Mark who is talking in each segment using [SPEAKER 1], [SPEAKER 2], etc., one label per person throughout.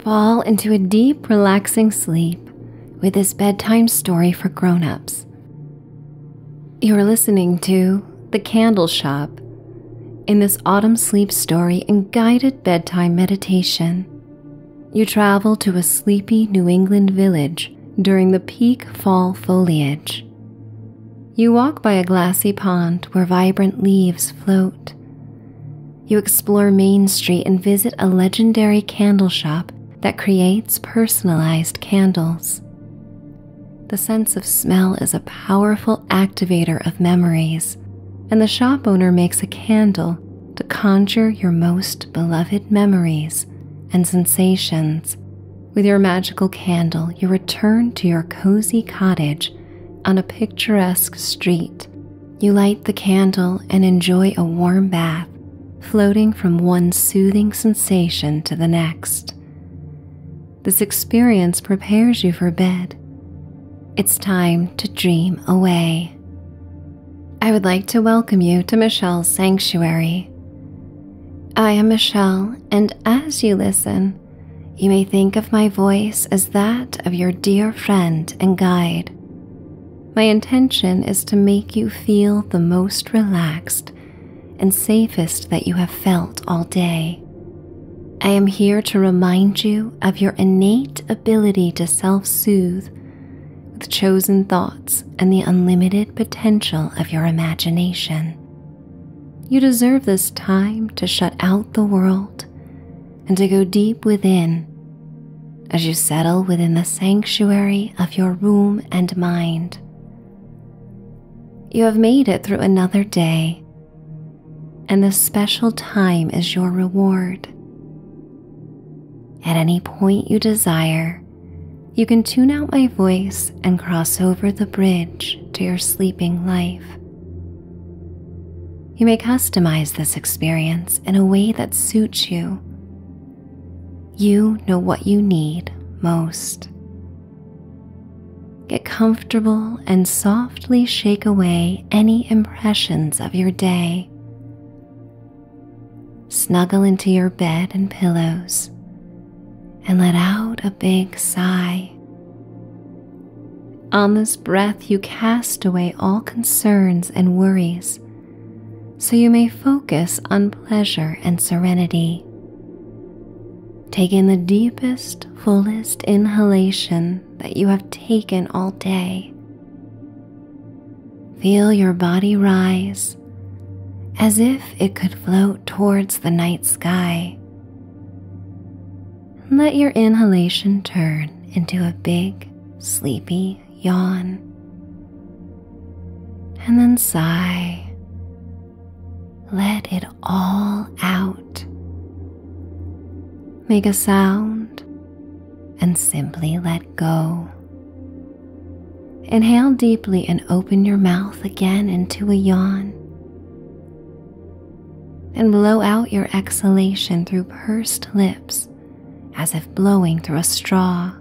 [SPEAKER 1] Fall into a deep, relaxing sleep with this bedtime story for grown-ups. You're listening to The Candle Shop in this autumn sleep story and guided bedtime meditation. You travel to a sleepy New England village during the peak fall foliage. You walk by a glassy pond where vibrant leaves float you explore Main Street and visit a legendary candle shop that creates personalized candles. The sense of smell is a powerful activator of memories, and the shop owner makes a candle to conjure your most beloved memories and sensations. With your magical candle, you return to your cozy cottage on a picturesque street you light the candle and enjoy a warm bath, floating from one soothing sensation to the next. This experience prepares you for bed. It's time to dream away. I would like to welcome you to Michelle's Sanctuary. I am Michelle, and as you listen, you may think of my voice as that of your dear friend and guide. My intention is to make you feel the most relaxed and safest that you have felt all day. I am here to remind you of your innate ability to self soothe with chosen thoughts and the unlimited potential of your imagination. You deserve this time to shut out the world and to go deep within as you settle within the sanctuary of your room and mind. You have made it through another day, and this special time is your reward. At any point you desire, you can tune out my voice and cross over the bridge to your sleeping life. You may customize this experience in a way that suits you. You know what you need most. Get comfortable and softly shake away any impressions of your day. Snuggle into your bed and pillows and let out a big sigh. On this breath, you cast away all concerns and worries so you may focus on pleasure and serenity. Take in the deepest, fullest inhalation that you have taken all day. Feel your body rise as if it could float towards the night sky. Let your inhalation turn into a big, sleepy yawn. And then sigh. Let it all out. Make a sound and simply let go. Inhale deeply and open your mouth again into a yawn and blow out your exhalation through pursed lips as if blowing through a straw.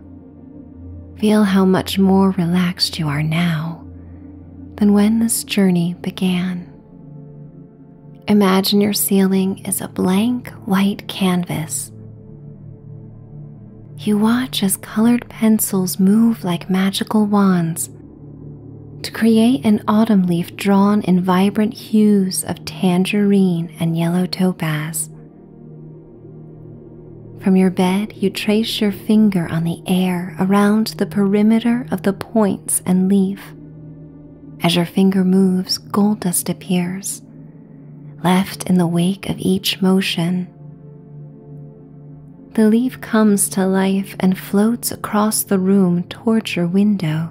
[SPEAKER 1] Feel how much more relaxed you are now than when this journey began. Imagine your ceiling is a blank white canvas. You watch as colored pencils move like magical wands to create an autumn leaf drawn in vibrant hues of tangerine and yellow topaz. From your bed, you trace your finger on the air around the perimeter of the points and leaf. As your finger moves, gold dust appears, left in the wake of each motion. The leaf comes to life and floats across the room towards your window.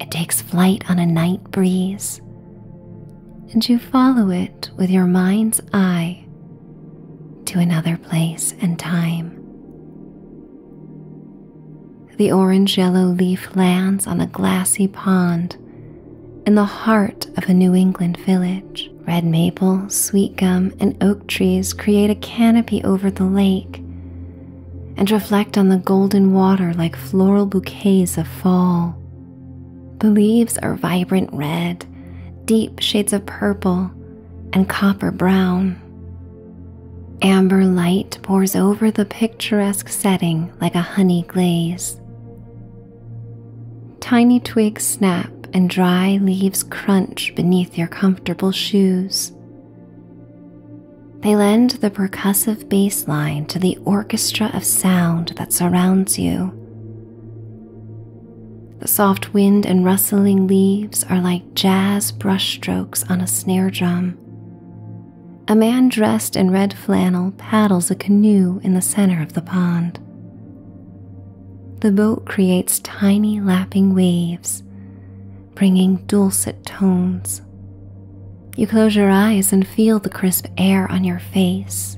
[SPEAKER 1] It takes flight on a night breeze, and you follow it with your mind's eye to another place and time. The orange yellow leaf lands on a glassy pond in the heart of a New England village. Red maple, sweet gum, and oak trees create a canopy over the lake and reflect on the golden water like floral bouquets of fall. The leaves are vibrant red, deep shades of purple, and copper brown. Amber light pours over the picturesque setting like a honey glaze. Tiny twigs snap and dry leaves crunch beneath your comfortable shoes. They lend the percussive bass line to the orchestra of sound that surrounds you. The soft wind and rustling leaves are like jazz brushstrokes on a snare drum. A man dressed in red flannel paddles a canoe in the center of the pond. The boat creates tiny lapping waves, bringing dulcet tones. You close your eyes and feel the crisp air on your face.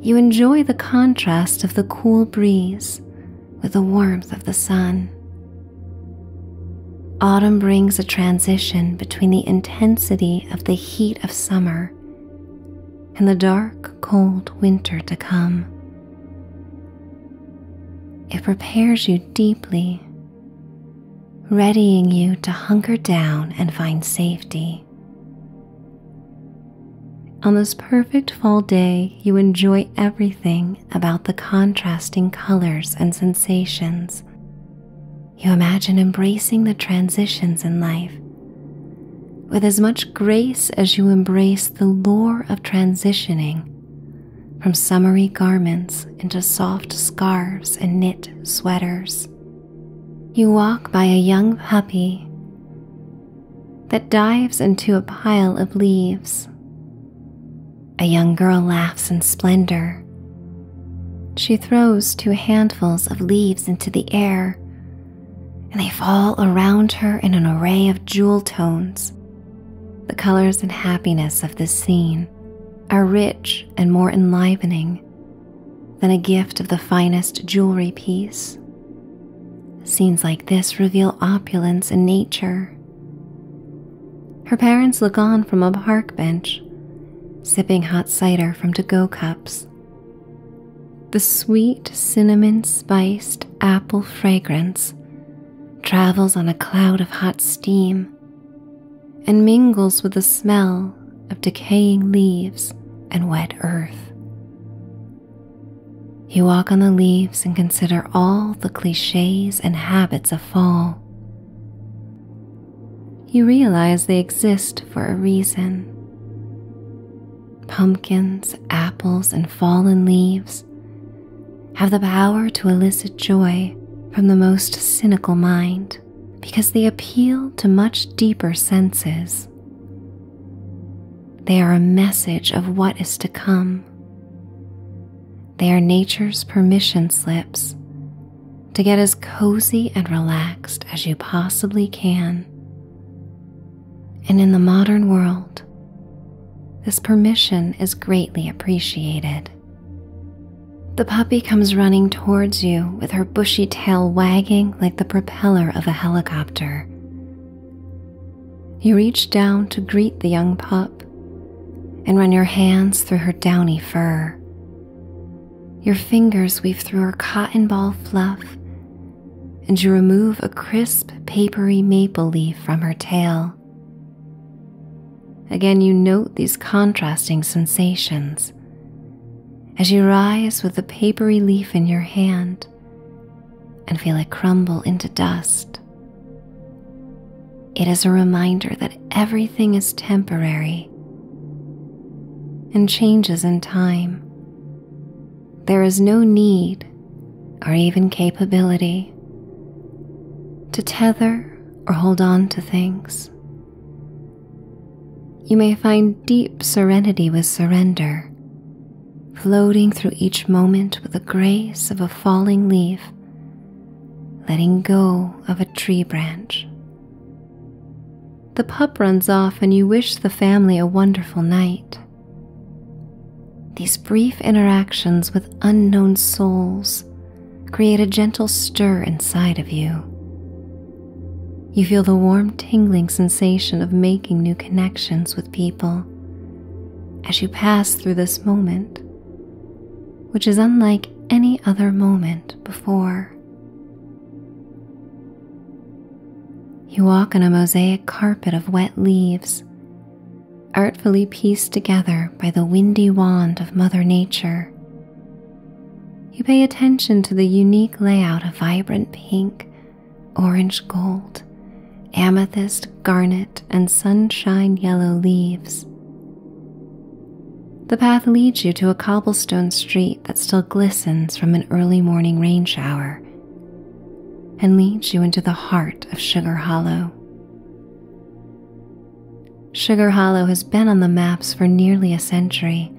[SPEAKER 1] You enjoy the contrast of the cool breeze with the warmth of the sun. Autumn brings a transition between the intensity of the heat of summer and the dark, cold winter to come. It prepares you deeply, readying you to hunker down and find safety. On this perfect fall day, you enjoy everything about the contrasting colors and sensations. You imagine embracing the transitions in life with as much grace as you embrace the lore of transitioning from summery garments into soft scarves and knit sweaters. You walk by a young puppy that dives into a pile of leaves. A young girl laughs in splendor. She throws two handfuls of leaves into the air, and they fall around her in an array of jewel tones the colors and happiness of this scene are rich and more enlivening than a gift of the finest jewelry piece. Scenes like this reveal opulence in nature. Her parents look on from a park bench, sipping hot cider from to go cups. The sweet cinnamon spiced apple fragrance travels on a cloud of hot steam and mingles with the smell of decaying leaves and wet earth. You walk on the leaves and consider all the cliches and habits of fall. You realize they exist for a reason. Pumpkins, apples, and fallen leaves have the power to elicit joy from the most cynical mind because they appeal to much deeper senses. They are a message of what is to come. They are nature's permission slips to get as cozy and relaxed as you possibly can and in the modern world, this permission is greatly appreciated. The puppy comes running towards you with her bushy tail wagging like the propeller of a helicopter. You reach down to greet the young pup and run your hands through her downy fur. Your fingers weave through her cotton ball fluff and you remove a crisp, papery maple leaf from her tail. Again, you note these contrasting sensations as you rise with the papery leaf in your hand and feel it crumble into dust. It is a reminder that everything is temporary and changes in time there is no need or even capability to tether or hold on to things. You may find deep serenity with surrender, floating through each moment with the grace of a falling leaf, letting go of a tree branch. The pup runs off, and you wish the family a wonderful night. These brief interactions with unknown souls create a gentle stir inside of you. You feel the warm, tingling sensation of making new connections with people as you pass through this moment, which is unlike any other moment before. You walk on a mosaic carpet of wet leaves artfully pieced together by the windy wand of Mother Nature. You pay attention to the unique layout of vibrant pink, orange gold, amethyst, garnet, and sunshine yellow leaves. The path leads you to a cobblestone street that still glistens from an early morning rain shower and leads you into the heart of Sugar Hollow. Sugar Hollow has been on the maps for nearly a century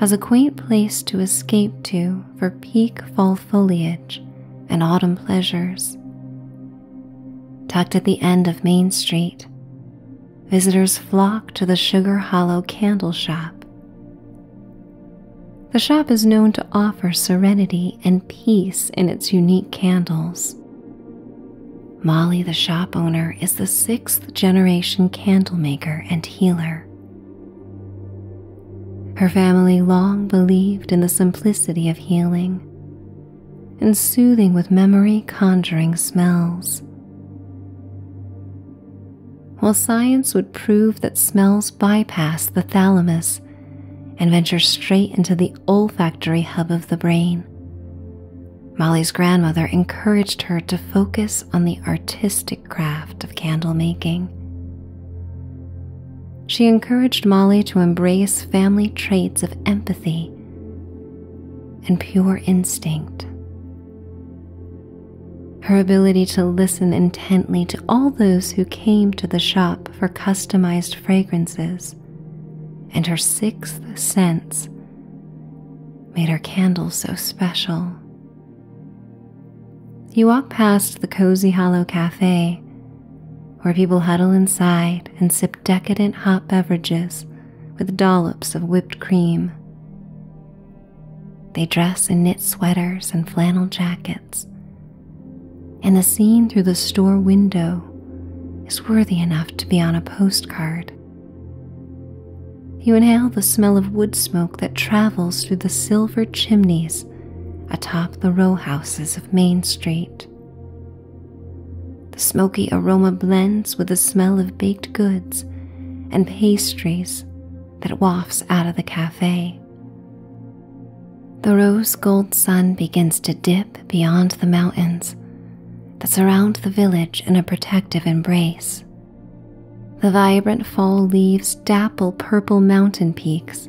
[SPEAKER 1] as a quaint place to escape to for peak fall foliage and autumn pleasures. Tucked at the end of Main Street, visitors flock to the Sugar Hollow Candle Shop, the shop is known to offer serenity and peace in its unique candles. Molly, the shop owner, is the sixth generation candle maker and healer. Her family long believed in the simplicity of healing and soothing with memory conjuring smells. While science would prove that smells bypass the thalamus and venture straight into the olfactory hub of the brain. Molly's grandmother encouraged her to focus on the artistic craft of candle making. She encouraged Molly to embrace family traits of empathy and pure instinct. Her ability to listen intently to all those who came to the shop for customized fragrances, and her sixth sense made her candles so special. You walk past the Cozy Hollow Cafe, where people huddle inside and sip decadent hot beverages with dollops of whipped cream. They dress in knit sweaters and flannel jackets and the scene through the store window is worthy enough to be on a postcard. You inhale the smell of wood smoke that travels through the silver chimneys atop the row houses of Main Street. The smoky aroma blends with the smell of baked goods and pastries that wafts out of the cafe. The rose gold sun begins to dip beyond the mountains that surround the village in a protective embrace. The vibrant fall leaves dapple purple mountain peaks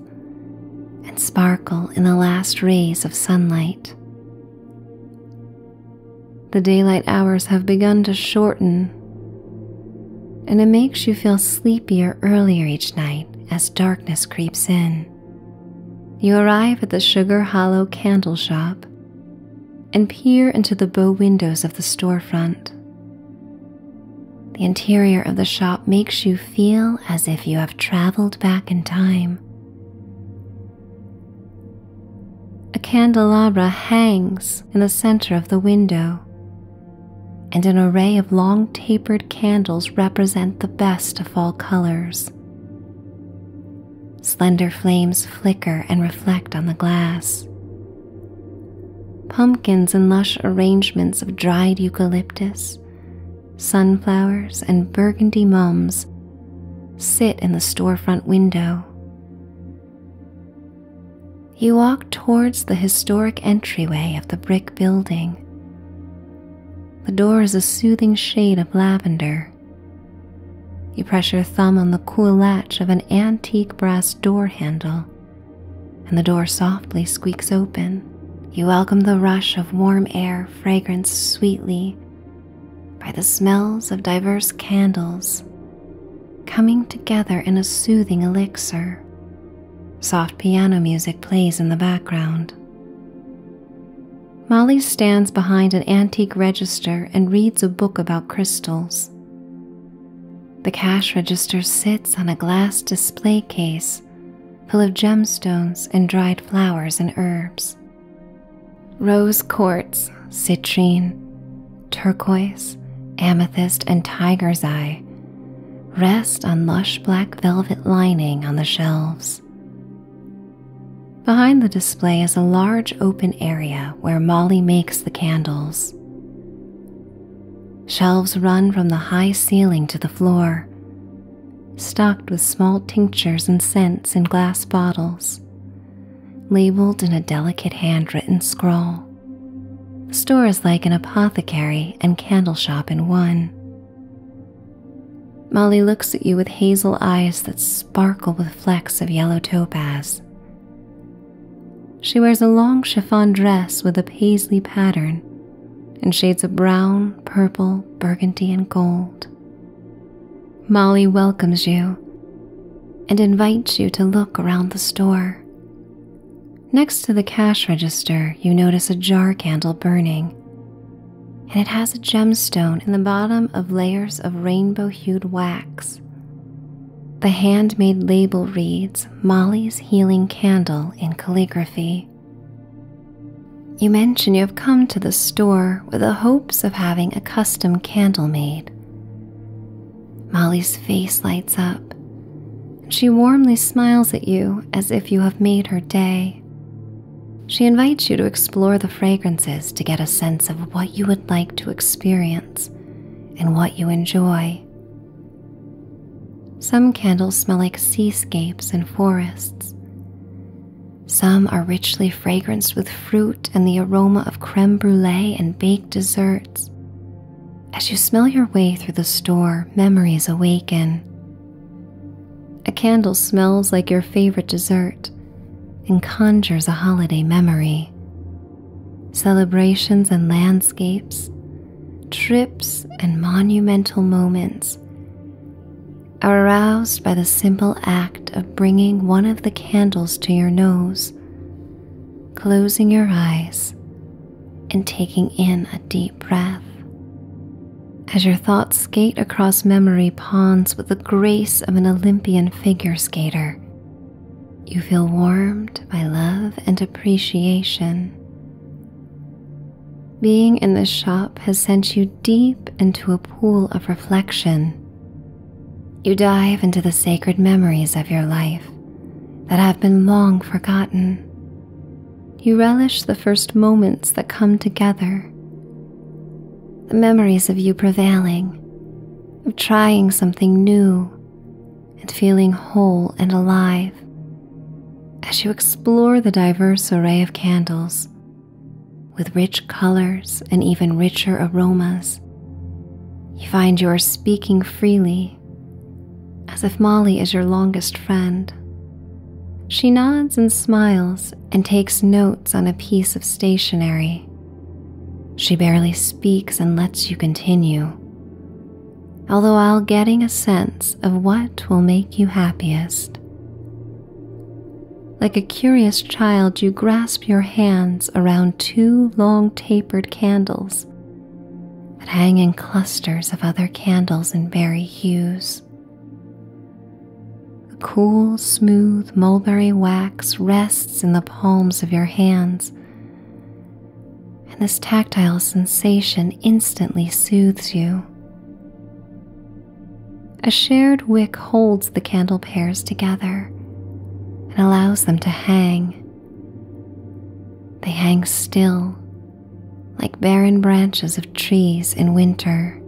[SPEAKER 1] and sparkle in the last rays of sunlight. The daylight hours have begun to shorten and it makes you feel sleepier earlier each night as darkness creeps in. You arrive at the Sugar Hollow Candle Shop and peer into the bow windows of the storefront. The interior of the shop makes you feel as if you have traveled back in time. A candelabra hangs in the center of the window, and an array of long tapered candles represent the best of fall colors. Slender flames flicker and reflect on the glass. Pumpkins and lush arrangements of dried eucalyptus, sunflowers, and burgundy mums sit in the storefront window. You walk towards the historic entryway of the brick building. The door is a soothing shade of lavender. You press your thumb on the cool latch of an antique brass door handle, and the door softly squeaks open. You welcome the rush of warm air fragrance sweetly by the smells of diverse candles coming together in a soothing elixir. Soft piano music plays in the background. Molly stands behind an antique register and reads a book about crystals. The cash register sits on a glass display case full of gemstones and dried flowers and herbs. Rose quartz, citrine, turquoise, amethyst, and tiger's eye rest on lush black velvet lining on the shelves. Behind the display is a large open area where Molly makes the candles. Shelves run from the high ceiling to the floor, stocked with small tinctures and scents in glass bottles, labeled in a delicate handwritten scroll. A store is like an apothecary and candle shop in one. Molly looks at you with hazel eyes that sparkle with flecks of yellow topaz. She wears a long chiffon dress with a paisley pattern in shades of brown, purple, burgundy, and gold. Molly welcomes you and invites you to look around the store. Next to the cash register, you notice a jar candle burning, and it has a gemstone in the bottom of layers of rainbow hued wax. The handmade label reads Molly's Healing Candle in calligraphy. You mention you have come to the store with the hopes of having a custom candle made. Molly's face lights up, she warmly smiles at you as if you have made her day. She invites you to explore the fragrances to get a sense of what you would like to experience and what you enjoy. Some candles smell like seascapes and forests. Some are richly fragranced with fruit and the aroma of creme brulee and baked desserts. As you smell your way through the store, memories awaken. A candle smells like your favorite dessert and conjures a holiday memory. Celebrations and landscapes, trips and monumental moments are aroused by the simple act of bringing one of the candles to your nose, closing your eyes, and taking in a deep breath. As your thoughts skate across memory ponds with the grace of an Olympian figure skater, you feel warmed by love and appreciation. Being in this shop has sent you deep into a pool of reflection. You dive into the sacred memories of your life that have been long forgotten. You relish the first moments that come together, the memories of you prevailing, of trying something new, and feeling whole and alive as you explore the diverse array of candles with rich colors and even richer aromas. You find you are speaking freely as if Molly is your longest friend. She nods and smiles and takes notes on a piece of stationery. She barely speaks and lets you continue, although I'll getting a sense of what will make you happiest. Like a curious child, you grasp your hands around two long tapered candles but hang in clusters of other candles in berry hues. The cool, smooth mulberry wax rests in the palms of your hands, and this tactile sensation instantly soothes you. A shared wick holds the candle pairs together and allows them to hang they hang still, like barren branches of trees in winter.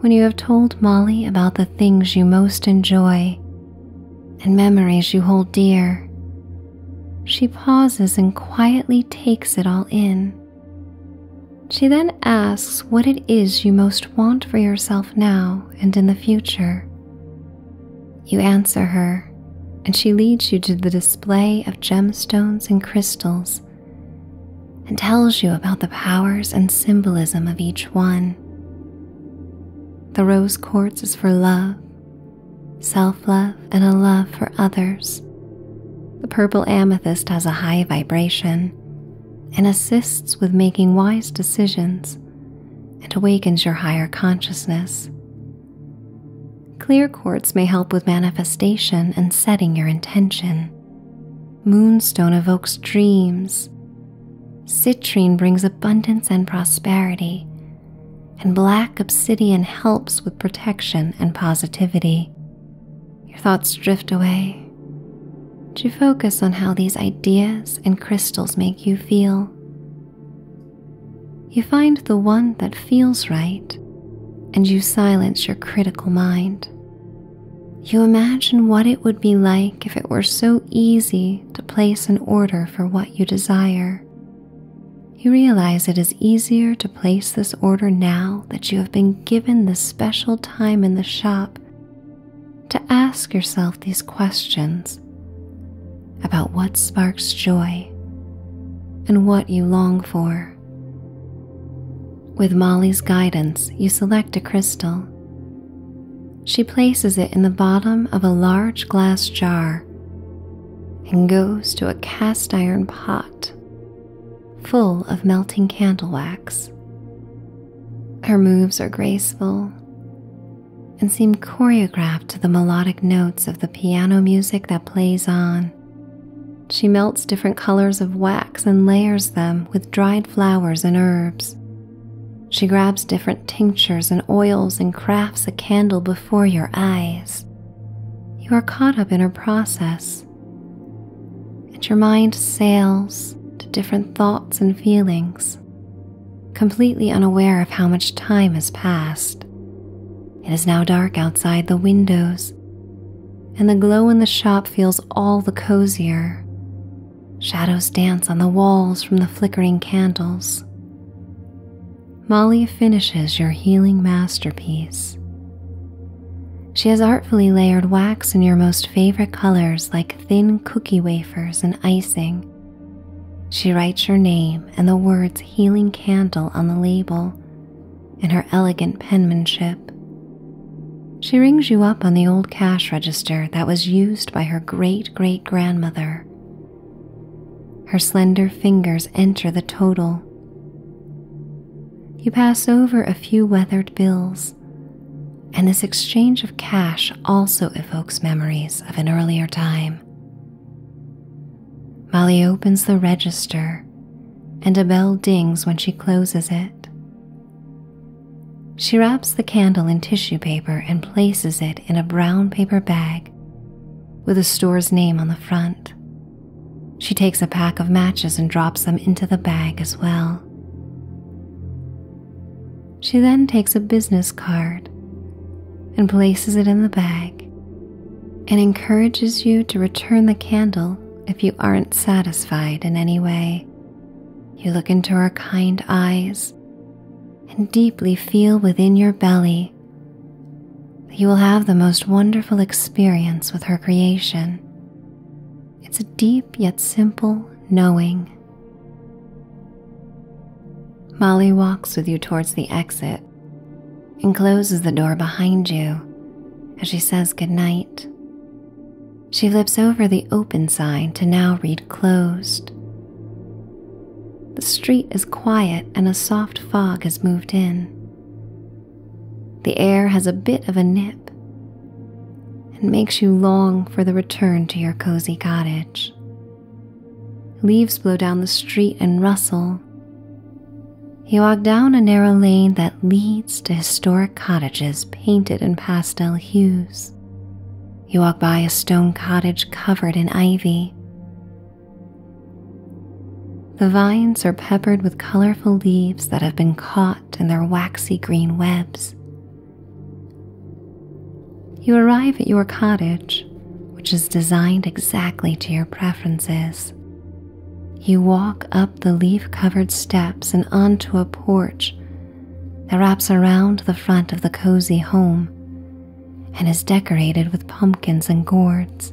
[SPEAKER 1] When you have told Molly about the things you most enjoy and memories you hold dear, she pauses and quietly takes it all in. She then asks what it is you most want for yourself now and in the future. You answer her, and she leads you to the display of gemstones and crystals and tells you about the powers and symbolism of each one. The rose quartz is for love, self love, and a love for others. The purple amethyst has a high vibration and assists with making wise decisions It awakens your higher consciousness. Clear quartz may help with manifestation and setting your intention. Moonstone evokes dreams. Citrine brings abundance and prosperity. And black obsidian helps with protection and positivity. Your thoughts drift away. To focus on how these ideas and crystals make you feel. You find the one that feels right and you silence your critical mind. You imagine what it would be like if it were so easy to place an order for what you desire. You realize it is easier to place this order now that you have been given the special time in the shop to ask yourself these questions about what sparks joy and what you long for. With Molly's guidance, you select a crystal. She places it in the bottom of a large glass jar and goes to a cast iron pot full of melting candle wax. Her moves are graceful and seem choreographed to the melodic notes of the piano music that plays on. She melts different colors of wax and layers them with dried flowers and herbs. She grabs different tinctures and oils and crafts a candle before your eyes. You are caught up in her process, and your mind sails to different thoughts and feelings completely unaware of how much time has passed. It is now dark outside the windows, and the glow in the shop feels all the cozier. Shadows dance on the walls from the flickering candles. Molly finishes your healing masterpiece. She has artfully layered wax in your most favorite colors like thin cookie wafers and icing she writes your name and the words Healing Candle on the label in her elegant penmanship. She rings you up on the old cash register that was used by her great great grandmother. Her slender fingers enter the total. You pass over a few weathered bills, and this exchange of cash also evokes memories of an earlier time. Molly opens the register, and a bell dings when she closes it. She wraps the candle in tissue paper and places it in a brown paper bag with the store's name on the front. She takes a pack of matches and drops them into the bag as well. She then takes a business card and places it in the bag and encourages you to return the candle if you aren't satisfied in any way. You look into her kind eyes and deeply feel within your belly that you will have the most wonderful experience with her creation. It's a deep yet simple knowing Molly walks with you towards the exit and closes the door behind you as she says goodnight. She flips over the open sign to now read closed. The street is quiet and a soft fog has moved in. The air has a bit of a nip and makes you long for the return to your cozy cottage. Leaves blow down the street and rustle. You walk down a narrow lane that leads to historic cottages painted in pastel hues. You walk by a stone cottage covered in ivy. The vines are peppered with colorful leaves that have been caught in their waxy green webs you arrive at your cottage, which is designed exactly to your preferences. You walk up the leaf covered steps and onto a porch that wraps around the front of the cozy home and is decorated with pumpkins and gourds.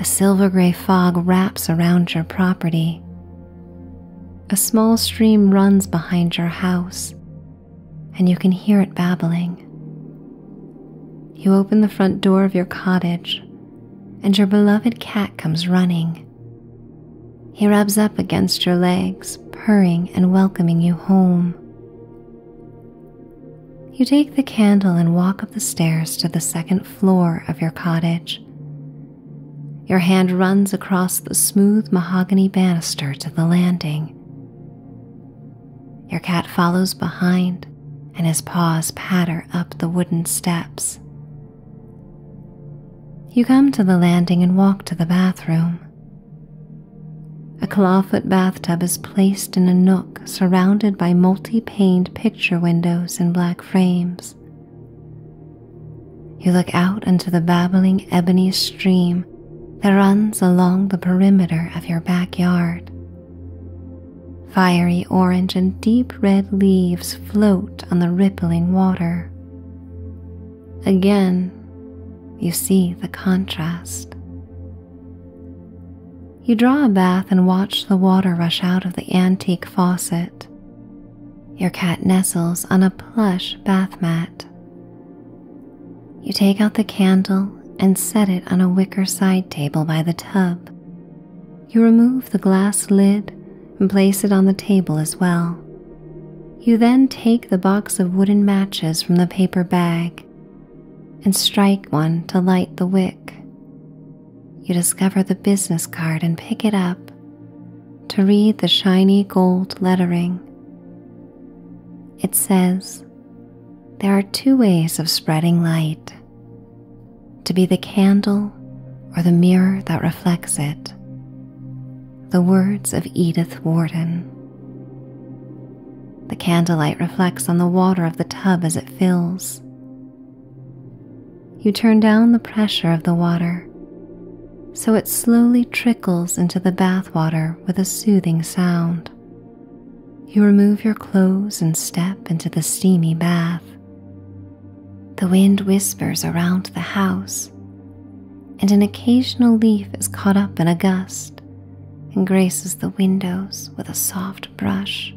[SPEAKER 1] A silver gray fog wraps around your property. A small stream runs behind your house and you can hear it babbling. You open the front door of your cottage, and your beloved cat comes running. He rubs up against your legs, purring and welcoming you home. You take the candle and walk up the stairs to the second floor of your cottage. Your hand runs across the smooth mahogany banister to the landing. Your cat follows behind, and his paws patter up the wooden steps. You come to the landing and walk to the bathroom. A clawfoot bathtub is placed in a nook surrounded by multi paned picture windows in black frames. You look out into the babbling ebony stream that runs along the perimeter of your backyard. Fiery orange and deep red leaves float on the rippling water. Again, you see the contrast. You draw a bath and watch the water rush out of the antique faucet. Your cat nestles on a plush bath mat. You take out the candle and set it on a wicker side table by the tub. You remove the glass lid and place it on the table as well. You then take the box of wooden matches from the paper bag and strike one to light the wick. You discover the business card and pick it up to read the shiny gold lettering it says, There are two ways of spreading light to be the candle or the mirror that reflects it. The words of Edith Warden. The candlelight reflects on the water of the tub as it fills. You turn down the pressure of the water so it slowly trickles into the bathwater with a soothing sound. You remove your clothes and step into the steamy bath. The wind whispers around the house, and an occasional leaf is caught up in a gust and graces the windows with a soft brush.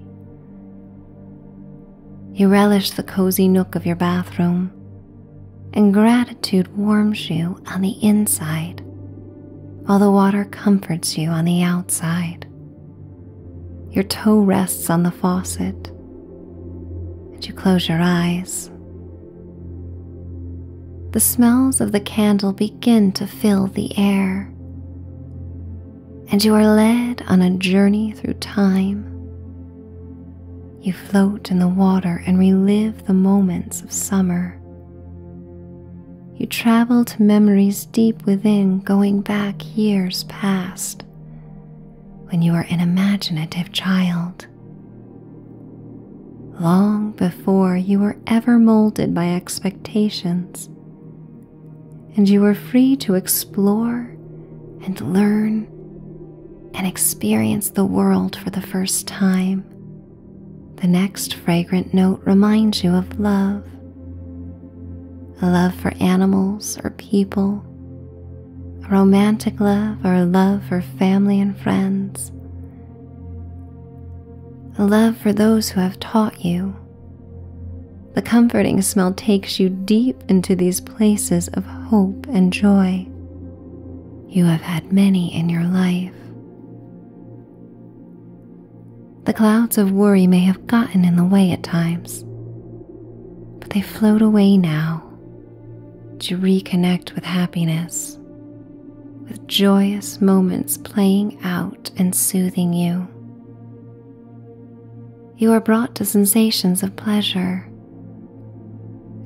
[SPEAKER 1] You relish the cozy nook of your bathroom and gratitude warms you on the inside, while the water comforts you on the outside. Your toe rests on the faucet, and you close your eyes. The smells of the candle begin to fill the air, and you are led on a journey through time you float in the water and relive the moments of summer. You travel to memories deep within, going back years past when you were an imaginative child. Long before you were ever molded by expectations, and you were free to explore and learn and experience the world for the first time. The next fragrant note reminds you of love a love for animals or people, a romantic love or a love for family and friends, a love for those who have taught you. The comforting smell takes you deep into these places of hope and joy. You have had many in your life. The clouds of worry may have gotten in the way at times, but they float away now to reconnect with happiness, with joyous moments playing out and soothing you. You are brought to sensations of pleasure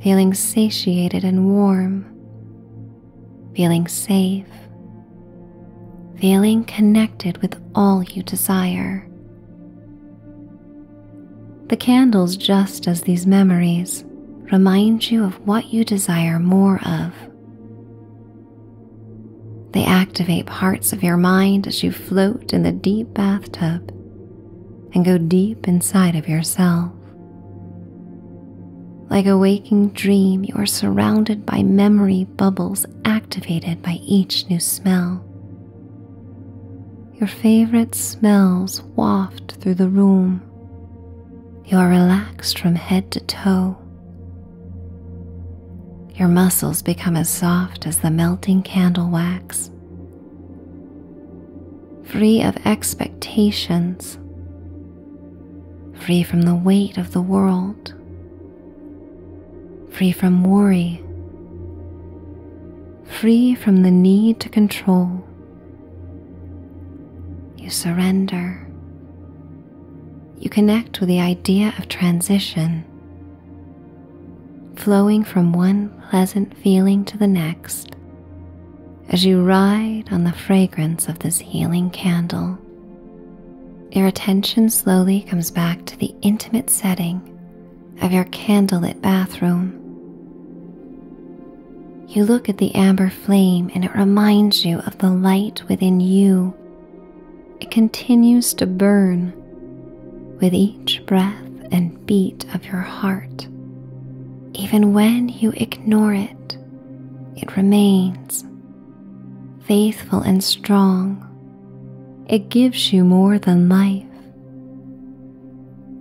[SPEAKER 1] feeling satiated and warm, feeling safe, feeling connected with all you desire. The candles, just as these memories, remind you of what you desire more of. They activate parts of your mind as you float in the deep bathtub and go deep inside of yourself. Like a waking dream, you are surrounded by memory bubbles activated by each new smell. Your favorite smells waft through the room. You are relaxed from head to toe. Your muscles become as soft as the melting candle wax free of expectations, free from the weight of the world, free from worry, free from the need to control. You surrender. You connect with the idea of transition, flowing from one pleasant feeling to the next as you ride on the fragrance of this healing candle. Your attention slowly comes back to the intimate setting of your candlelit bathroom. You look at the amber flame and it reminds you of the light within you. It continues to burn with each breath and beat of your heart. Even when you ignore it, it remains faithful and strong. It gives you more than life,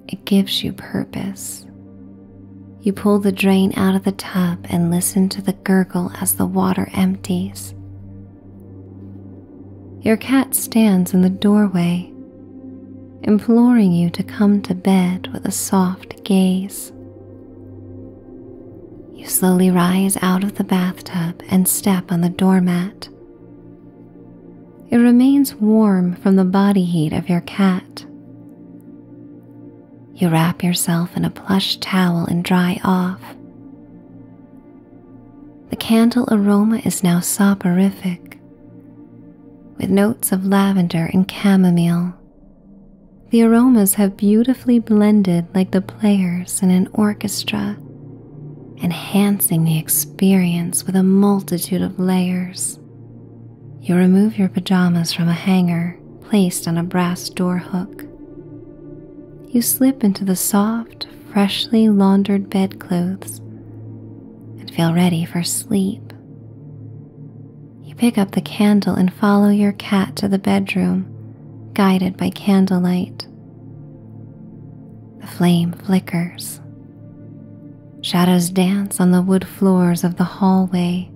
[SPEAKER 1] it gives you purpose. You pull the drain out of the tub and listen to the gurgle as the water empties. Your cat stands in the doorway imploring you to come to bed with a soft gaze. You slowly rise out of the bathtub and step on the doormat. It remains warm from the body heat of your cat. You wrap yourself in a plush towel and dry off. The candle aroma is now soporific, with notes of lavender and chamomile. The aromas have beautifully blended like the players in an orchestra, enhancing the experience with a multitude of layers. You remove your pajamas from a hanger placed on a brass door hook. You slip into the soft, freshly laundered bedclothes and feel ready for sleep. You pick up the candle and follow your cat to the bedroom, guided by candlelight. The flame flickers. Shadows dance on the wood floors of the hallway.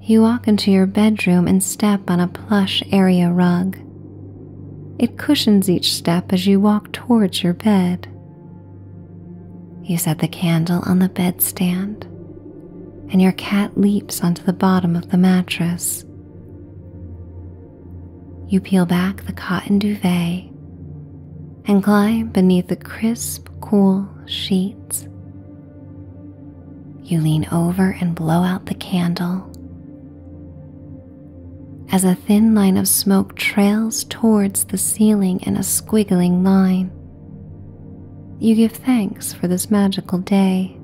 [SPEAKER 1] You walk into your bedroom and step on a plush area rug. It cushions each step as you walk towards your bed. You set the candle on the bedstand, and your cat leaps onto the bottom of the mattress. You peel back the cotton duvet and climb beneath the crisp, cool sheets. You lean over and blow out the candle as a thin line of smoke trails towards the ceiling in a squiggling line. You give thanks for this magical day,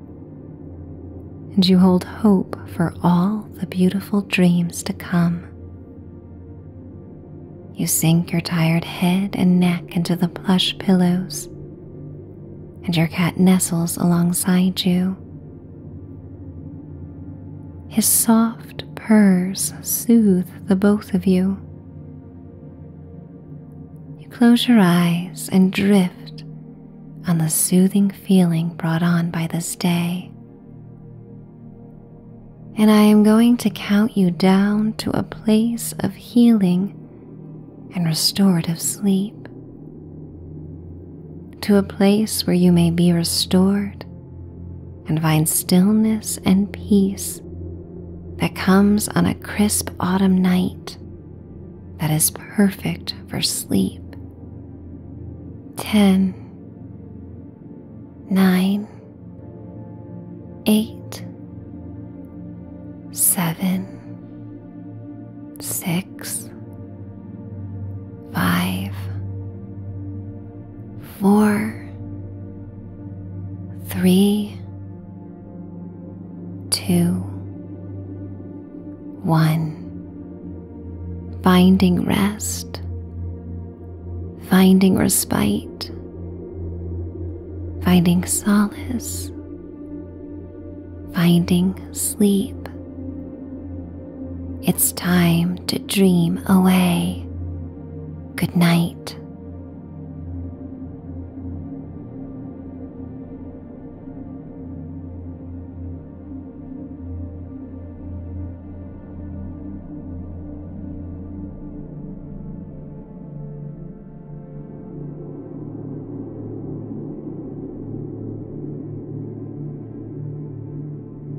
[SPEAKER 1] and you hold hope for all the beautiful dreams to come. You sink your tired head and neck into the plush pillows, and your cat nestles alongside you. His soft, soft purrs soothe the both of you. You close your eyes and drift on the soothing feeling brought on by this day. And I am going to count you down to a place of healing and restorative sleep, to a place where you may be restored and find stillness and peace that comes on a crisp autumn night that is perfect for sleep. 10, 9, 8, 7, 6, 5, four, three, two, one. Finding rest, finding respite, finding solace, finding sleep, it's time to dream away. Good night.